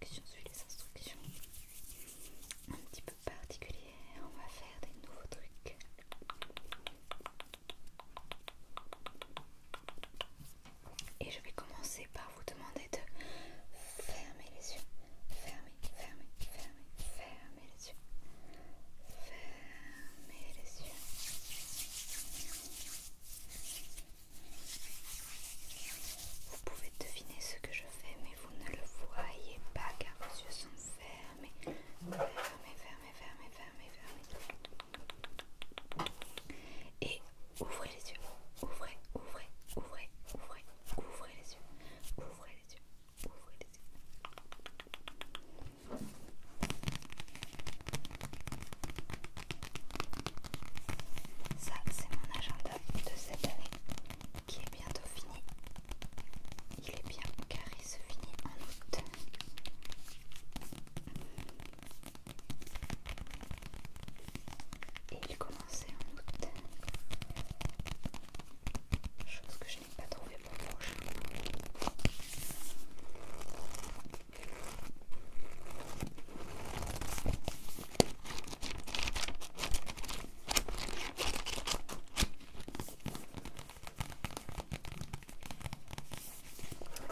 on suit les instructions un petit peu particulières. On va faire des nouveaux trucs. Et je vais commencer par vous demander de fermer les yeux. Fermer, fermer, fermer, fermer les yeux. fermer les yeux. Vous pouvez deviner ce que je fais, mais vous ne le voyez pas car vos yeux sont fermés. Fermés, fermés, fermés, fermés, fermés. Et ouvrez les yeux. Ouvrez, ouvrez, ouvrez, ouvrez, ouvrez les yeux. Ouvrez les yeux. Ouvrez les yeux. Ça, c'est mon agenda de cette année qui est bientôt fini. Il est bien car il se finit en août. Et il commençait en août. Chose que je n'ai pas trouvé pour le prochain.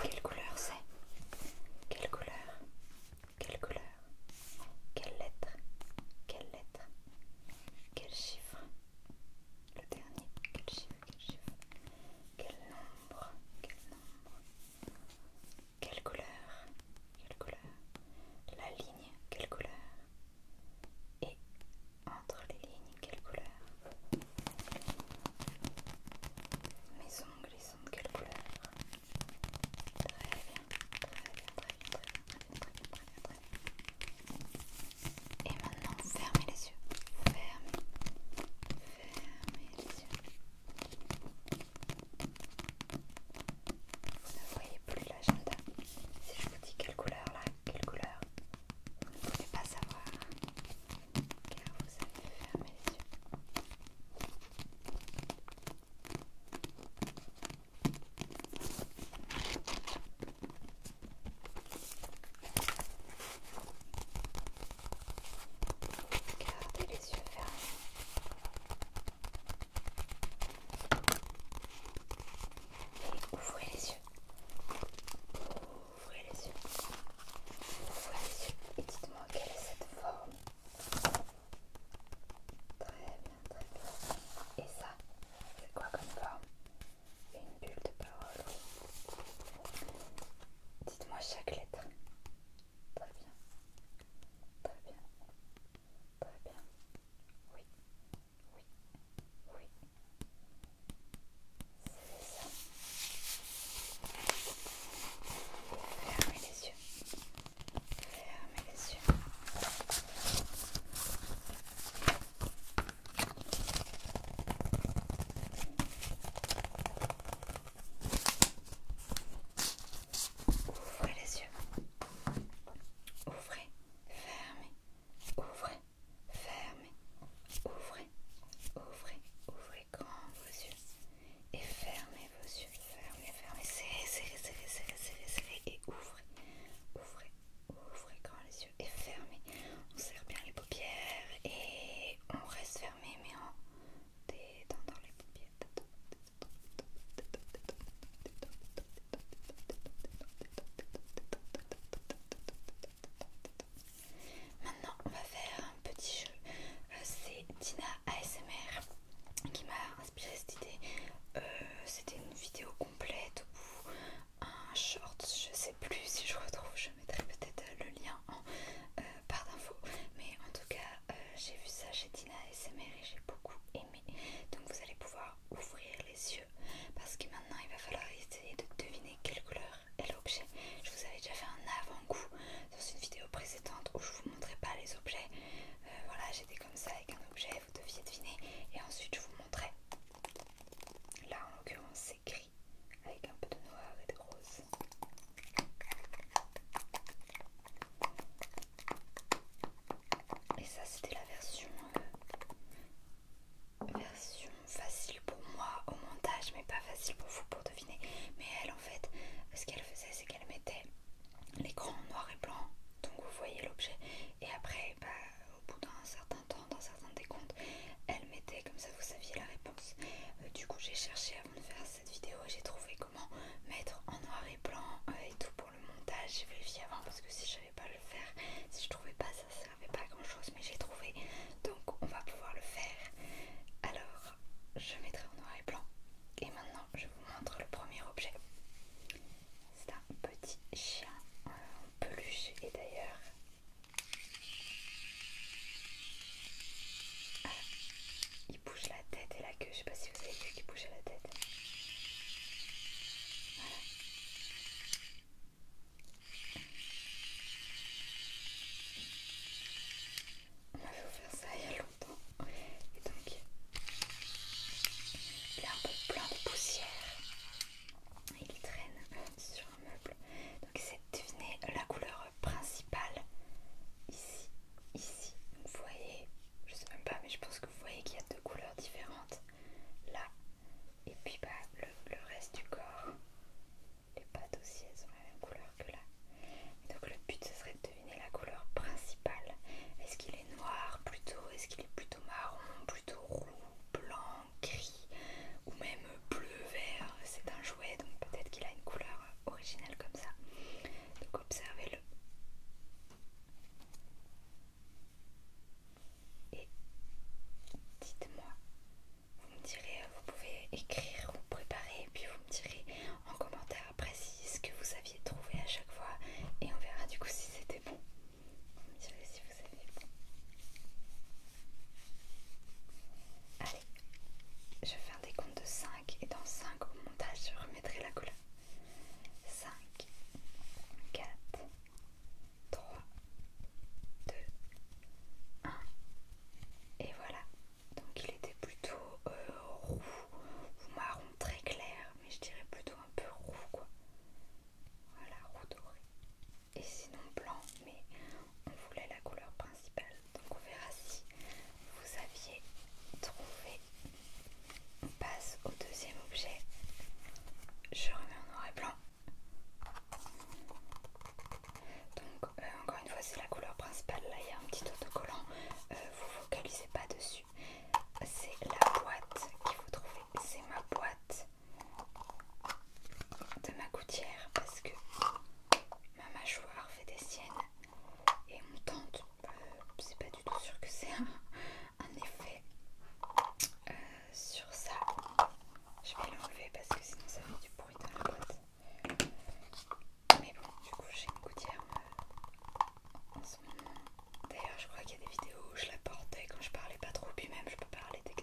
Quelle couleur c'est Quelle couleur Quelle couleur Quelle lettre Quelle lettre Quel chiffre Le dernier, quel chiffre Quel chiffre Quel nombre Quel nombre quelle couleur Quelle couleur La ligne, quelle couleur Et entre les lignes, quelle couleur Mes ongles, ils sont de quelle couleur Très bien, très bien, très bien, très bien, très bien, très bien, très bien. Et maintenant, fermez les yeux. Fermez, fermez les yeux. Vous ne voyez plus l'agenda. Si je vous dis quelle couleur là, quelle couleur, vous ne pouvez pas savoir car vous avez fermé les yeux. Gardez les yeux fermés. Et ouvrez les yeux. Ouvrez les yeux. Ouvrez les yeux. dites-moi quelle est cette forme. Très bien, très bien. Et ça, c'est quoi comme forme Une bulle de parole. Dites-moi chaque lettre. Très bien. Très bien. Très bien. Oui. Oui. Oui. C'est ça. Fermez les yeux. Fermez les yeux. Ouvrez les yeux. Ouvrez, fermez. Ouvrez, fermez. Ouvrez, ouvrez, ouvrez grand vos yeux. Et fermez vos yeux. Fermez, fermez. Serrez, serrez, serrez, serrez, serrez, serrez. Et ouvrez, ouvrez, ouvrez grand les yeux. Et fermez. On serre bien les paupières. Et on reste fermé, mais en dans les Maintenant, on va faire un petit jeu. Euh, c'est Dina ASMR qui m'a inspiré cette idée. Euh, c'était une vidéo complète ou un short, je sais plus si je retrouve, je mettrai peut-être le lien en euh, Mais en tout cas, euh, j'ai vu ça chez Tina SMR et j'ai beaucoup aimé. Donc vous allez pouvoir ouvrir les yeux parce que maintenant il va falloir essayer de deviner quelle couleur est l'objet. Je vous avais déjà fait un avant-goût dans une vidéo précédente où je vous montrais pas les objets. Euh, voilà, j'étais comme ça avec un objet, vous deviez deviner et ensuite je vous montrais. Là en l'occurrence c'est avec un peu de noir et de rose. Et ça c'était la version euh, version facile pour moi au montage mais pas facile pour vous pour deviner. Mais elle en fait ce qu'elle faisait c'est qu'elle mettait l'écran noir et blanc donc vous voyez l'objet et après bah, au bout d'un certain temps, dans certains décomptes, elle comme ça vous saviez la réponse. Euh, du coup j'ai cherché avant de faire cette vidéo, j'ai trouvé comment mettre en noir et blanc euh, et tout pour le montage. J'ai vérifié avant parce que si je savais pas le faire, si je trouvais pas ça, ça servait pas à grand chose, mais j'ai trouvé. Donc on va pouvoir le faire. Alors je mettrai en noir et blanc. Et maintenant je vous montre le premier objet. C'est un petit chien euh, en peluche et d'ailleurs il bouge la tête et la queue. Je sais pas si vous avez vu qu'il bougeait la tête. Voilà. On m'avait offert ça il y a longtemps. Et donc, il a un peu plein de poussière. Il traîne sur donc c'est de deviner la couleur principale ici, ici. Vous voyez, je sais même pas, mais je pense que vous voyez qu'il y a deux couleurs différentes là. Et puis bah, le, reste du corps, les pattes aussi, elles ont la même couleur que là. donc le but, ce serait de deviner la couleur principale. Est-ce qu'il est noir plutôt Est-ce qu'il est plutôt marron Plutôt roux Blanc gris ou même bleu-vert, c'est un jouet donc peut-être qu'il a une couleur originale comme ça. Donc observez-le. Et dites-moi, vous me direz, vous pouvez écrire ou préparer, et puis vous me direz en commentaire précis ce que vous aviez trouvé à chaque fois, et on verra du coup si c'était bon. Vous me si vous avez bon. Je vais faire des comptes de 5 et dans 5 au montage je remettrai la couleur. 5, 4, 3, 2, 1. Et voilà. Donc il était plutôt euh, roux ou marron très clair, mais je dirais plutôt un peu roux quoi. Voilà, roux doré. Et sinon blanc, mais on voulait la couleur principale. Donc on verra si vous aviez trouvé. On passe au deuxième objet. Je remets en noir et blanc. Donc euh, encore une fois c'est la couleur principale. Là il y a un petit autocollant. Euh, vous focalisez pas dessus. C'est la boîte qu'il faut trouver, C'est ma boîte de ma gouttière parce que ma mâchoire fait des siennes et mon tente, euh, c'est pas du tout sûr que c'est un, effet euh, sur ça. Je vais l'enlever parce que sinon ça fait du bruit dans la boîte. Mais bon, du coup j'ai une gouttière euh, en ce moment. D'ailleurs je crois qu'il y a des vidéos où je la portais quand je parlais pas trop, puis même je peux parler des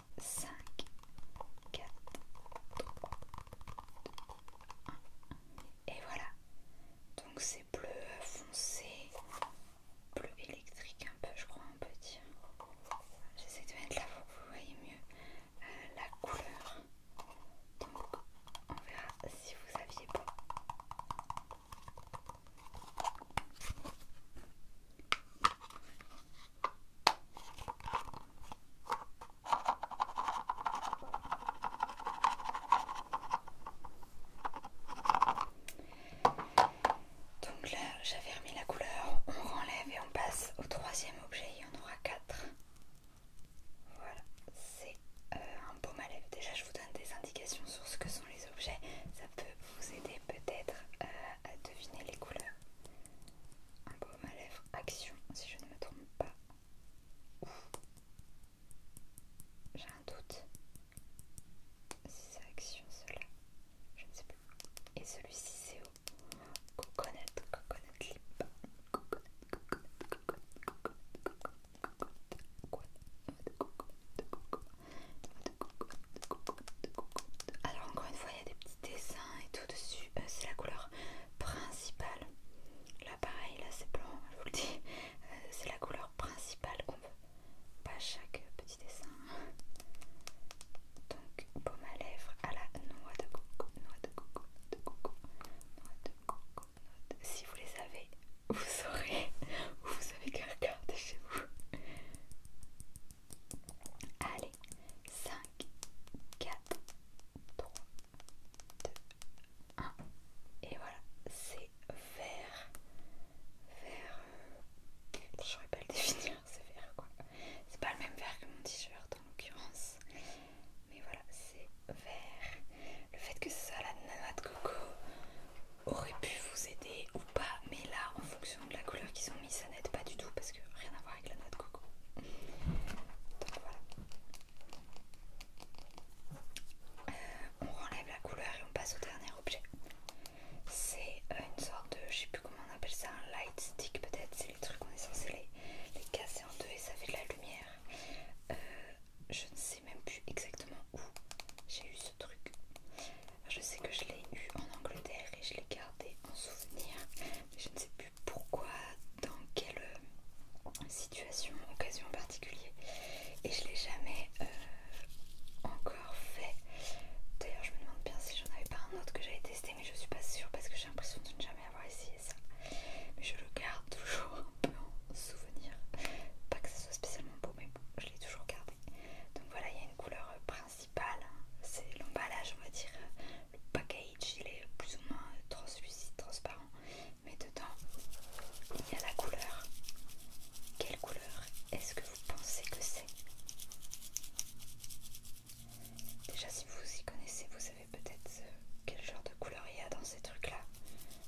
5, 4, 3, 2, 1. Et voilà. Donc c'est bleu foncé, bleu électrique un peu je crois on peut dire. J'essaie de mettre là pour que vous voyez mieux euh, la couleur. Donc on verra si vous aviez pas. Donc là, j'avais remis la couleur, on renlève et on passe au troisième objet, il y en aura quatre. Voilà, c'est euh, un baume à Déjà, je vous donne des indications sur ce que sont les objets, ça peut vous aider peut-être euh, à deviner les couleurs un baume à lèvre, Action, si je ne me trompe pas. J'ai un doute si c'est Action, cela. Je ne sais plus. Et celui-ci, c'est au coconut, coconut lip. Alors encore une fois il y a des petits dessins et dessus, euh, c'est la couleur principale. Là pareil, là c'est blanc, je vous le dis, euh, c'est la couleur principale qu'on veut. Pas chaque petit dessin. Donc baume à lèvres à la noix de coco, noix de coco, noix de coco, noix de coco, noix Si vous les avez, vous saurez, ou vous avez qu'à regarder chez vous. Allez, 5, 4, 3, 2, 1. Et voilà, c'est vert. Vert. J'aurais euh, je saurais pas le définir, c'est vert quoi. C'est pas le même vert que mon t-shirt en l'occurrence. Mais voilà, c'est vert. Le fait que ce soit la nana de coco aurait pu vous aider pas, mais là en fonction de la couleur qu'ils ont mis, ça n'aide pas du tout parce que rien à voir avec la noix de coco. Donc voilà. Euh, on enlève la couleur et on passe au dernier objet. C'est euh, une sorte de, je sais plus comment on appelle ça, un light stick peut-être. C'est les trucs qu'on est censé les, les casser en deux et ça fait de la lumière. Euh, je ne sais même plus exactement où j'ai eu ce truc. Je sais que je l'ai eu en Angleterre et je l'ai gardé en souvenir. je ne sais plus pourquoi, dans quelle euh, situation, occasion particulière. Et je l'ai jamais euh, encore fait. D'ailleurs, je me demande bien si j'en avais pas un autre que j'avais testé, mais je suis pas sûre parce que j'ai l'impression de ne jamais avoir essayé ça. Mais je le garde toujours un peu en souvenir. Pas que ce soit spécialement beau, mais bon, je l'ai toujours gardé. Donc voilà, il y a une couleur euh, Hein. c'est l'emballage, on va dire. Le package, il est plus ou moins translucide, transparent. Mais dedans, il y a la couleur. Quelle couleur est-ce que vous pensez que c'est Déjà, si vous y connaissez, vous savez peut-être euh, quel genre de couleur il y a dans ces trucs-là.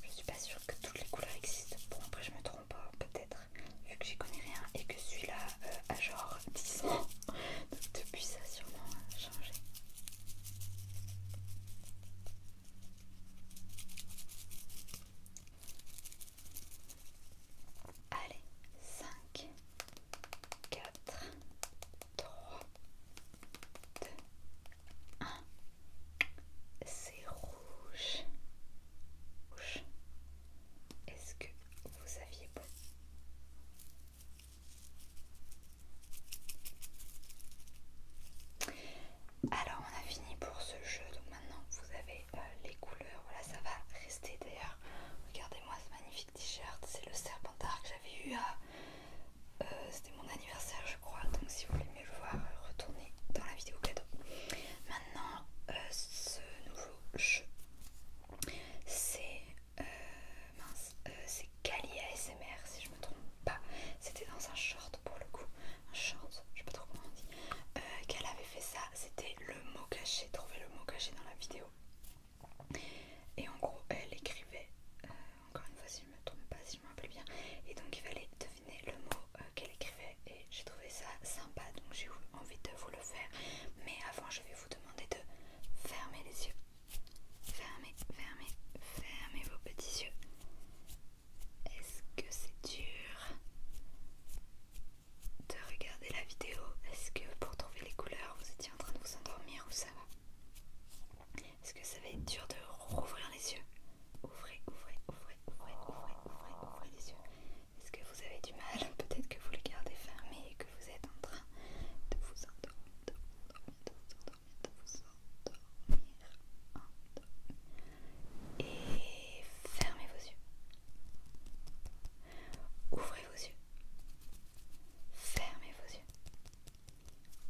Je suis pas sûre que toutes les couleurs existent. Bon, après, je me trompe, hein, peut-être vu que j'y connais rien et que celui-là euh, a genre 10 ans. Donc depuis ça a changé. Allez, 5, 4, 3, 2, 1. C'est rouge. Rouge. Est-ce que vous saviez beau Alors on a fini pour ce jeu, donc maintenant vous avez euh, les couleurs, voilà ça va rester d'ailleurs. Regardez-moi ce magnifique t-shirt, c'est le serpentard que j'avais eu euh, euh, C'était mon anniversaire je crois, donc si vous voulez me le voir, retournez dans la vidéo cadeau. Maintenant ce nouveau c'est euh, euh, c'est Kali ASMR si je me trompe pas. C'était dans un short pour le coup, un short, je sais pas trop comment on dit, euh, qu'elle avait fait ça. C'était le mot caché, trouver le mot caché dans la vidéo. Et en gros, elle écrivait, encore une fois si je me trompe pas, si je me rappelle bien, et donc il fallait deviner le mot qu'elle écrivait et j'ai trouvé ça sympa donc j'ai envie de vous le faire mais avant je vais vous demander de fermer les yeux fermez fermez fermez vos petits yeux est-ce que c'est dur de regarder la vidéo est-ce que pour trouver les couleurs vous étiez en train de vous endormir ou ça va est-ce que ça va être dur de rouvrir les yeux ouvrez ouvrez ouvrez ouvrez ouvrez ouvrez ouvrez les yeux est-ce que vous avez du mal Peut-être que vous le gardez fermé et que vous êtes en train de vous endormir, de vous endormir, de vous endormir, Et fermez vos yeux. Ouvrez vos yeux. Fermez vos yeux.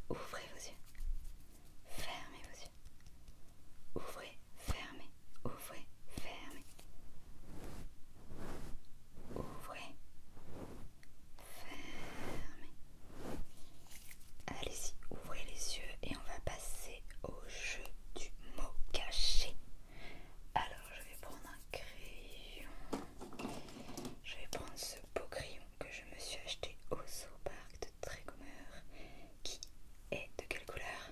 Ouvrez vos yeux. Fermez vos yeux. Ouvrez, fermez, ouvrez, fermez. Ouvrez, fermez. Allez-y, ouvrez les yeux et on va passer au jeu du mot caché. Alors je vais prendre un crayon. Je vais prendre ce beau crayon que je me suis acheté au Zoopark de Trégomeur qui est de quelle couleur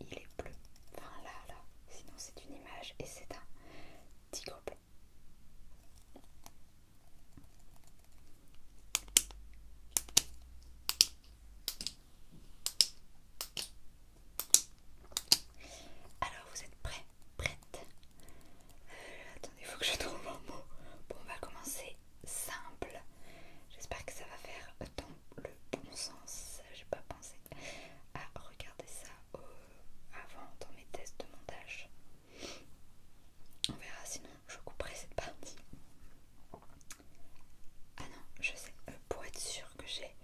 il est bleu. Enfin là, là, sinon c'est une image et c'est un tigre bleu. Alors vous êtes prêts Prête euh, Attendez, il faut que je trouve un mot. Bon, on va commencer simple. J'espère que ça va faire dans le bon sens, j'ai pas pensé à regarder ça avant dans mes tests de montage. On verra, sinon je couperai cette partie. Ah non, je sais, euh, pour être sûre que j'ai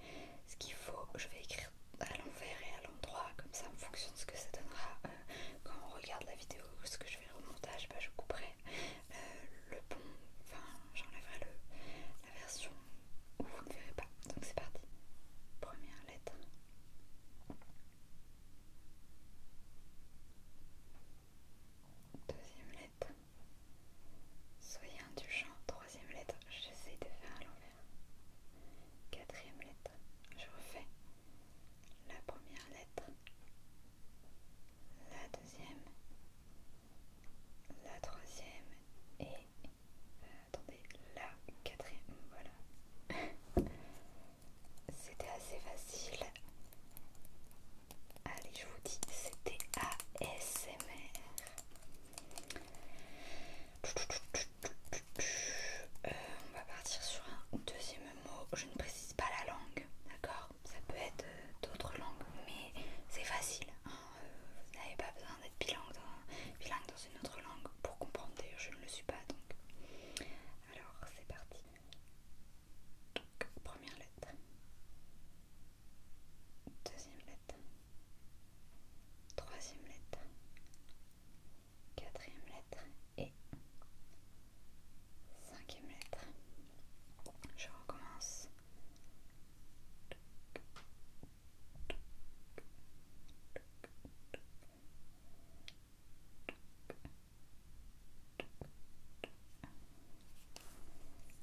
ce qu'il faut, je vais écrire à l'envers et à l'endroit, comme ça en fonction de ce que ça donnera euh, quand on regarde la vidéo, ou ce que je vais au montage, bah, je couperai euh, le bon, enfin j'enlèverai la version où vous ne verrez pas. Donc c'est parti. Première lettre. Deuxième lettre. Soyez indulgent. Troisième lettre. J'essaie de faire à l'envers. Quatrième lettre. Je refais la première lettre la deuxième, la troisième et euh, attendez, la quatrième. Voilà. C'était assez facile. Allez, je vous dis, c'était ASMR. Euh, on va partir sur un deuxième mot. Je ne précise pas la langue, d'accord ça peut être euh, d'autres langues, mais c'est facile. Hein, euh, vous n'avez pas besoin d'être bilingue dans, dans une autre langue pour comprendre. D'ailleurs, je ne le suis pas, donc. Alors, c'est parti. Donc, première lettre. Deuxième lettre. Troisième lettre. Quatrième lettre et Cinquième lettre. Je recommence.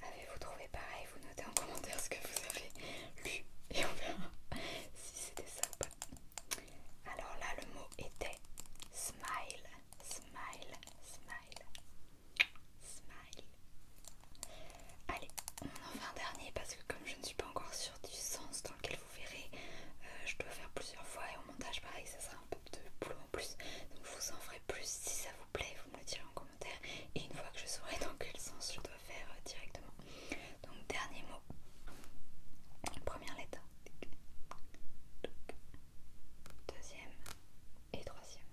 Avez-vous trouvé pareil Vous notez en commentaire ce que vous avez lu et on verra si c'était ça ou pas. Alors là, le mot était smile smile, smile, smile. Allez, on en fait un dernier parce que comme je ne suis pas encore sûre du sens dans lequel vous verrez, euh, je dois faire plusieurs fois et au montage pareil, ça sera un peu de boulot en plus. Donc vous en ferez plus si ça vous plaît, vous me le direz en commentaire. Et une fois que je saurai dans quel sens je dois faire euh, directement. Donc dernier mot, première lettre deuxième et troisième.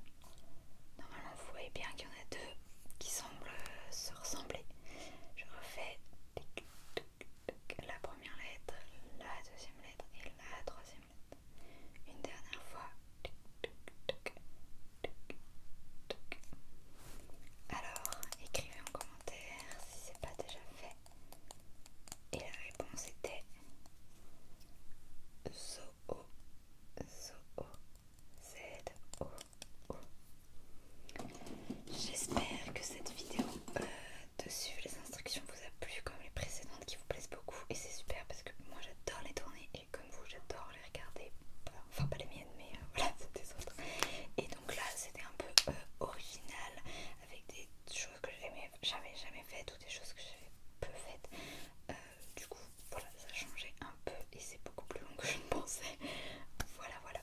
Normalement, vous voyez bien qu'il y en a deux qui semblent euh, se ressembler. Je refais la première lettre, la deuxième lettre et la troisième lettre. Une dernière fois. Alors, écrivez en commentaire si c'est pas déjà fait. Et la réponse était Zoo, Zoo, z o J'espère que cette vidéo euh, de dessus, les instructions vous a plu comme les précédentes qui vous plaisent beaucoup. Et c'est super parce que moi j'adore les tourner et comme vous j'adore les regarder. Enfin pas les miennes mais euh, voilà, c'est des autres. Et donc là c'était un peu euh, original avec des choses que j'avais jamais faites ou des choses que j'avais peu faites. Euh, du coup, voilà, ça a changé un peu et c'est beaucoup plus long que je ne pensais. voilà, voilà.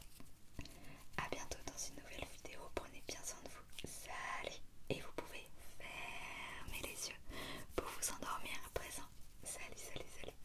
A bientôt dans une nouvelle vidéo. Prenez bien soin de vous. Salut Et vous pouvez fermer les yeux pour vous endormir à présent. Salut, salut, salut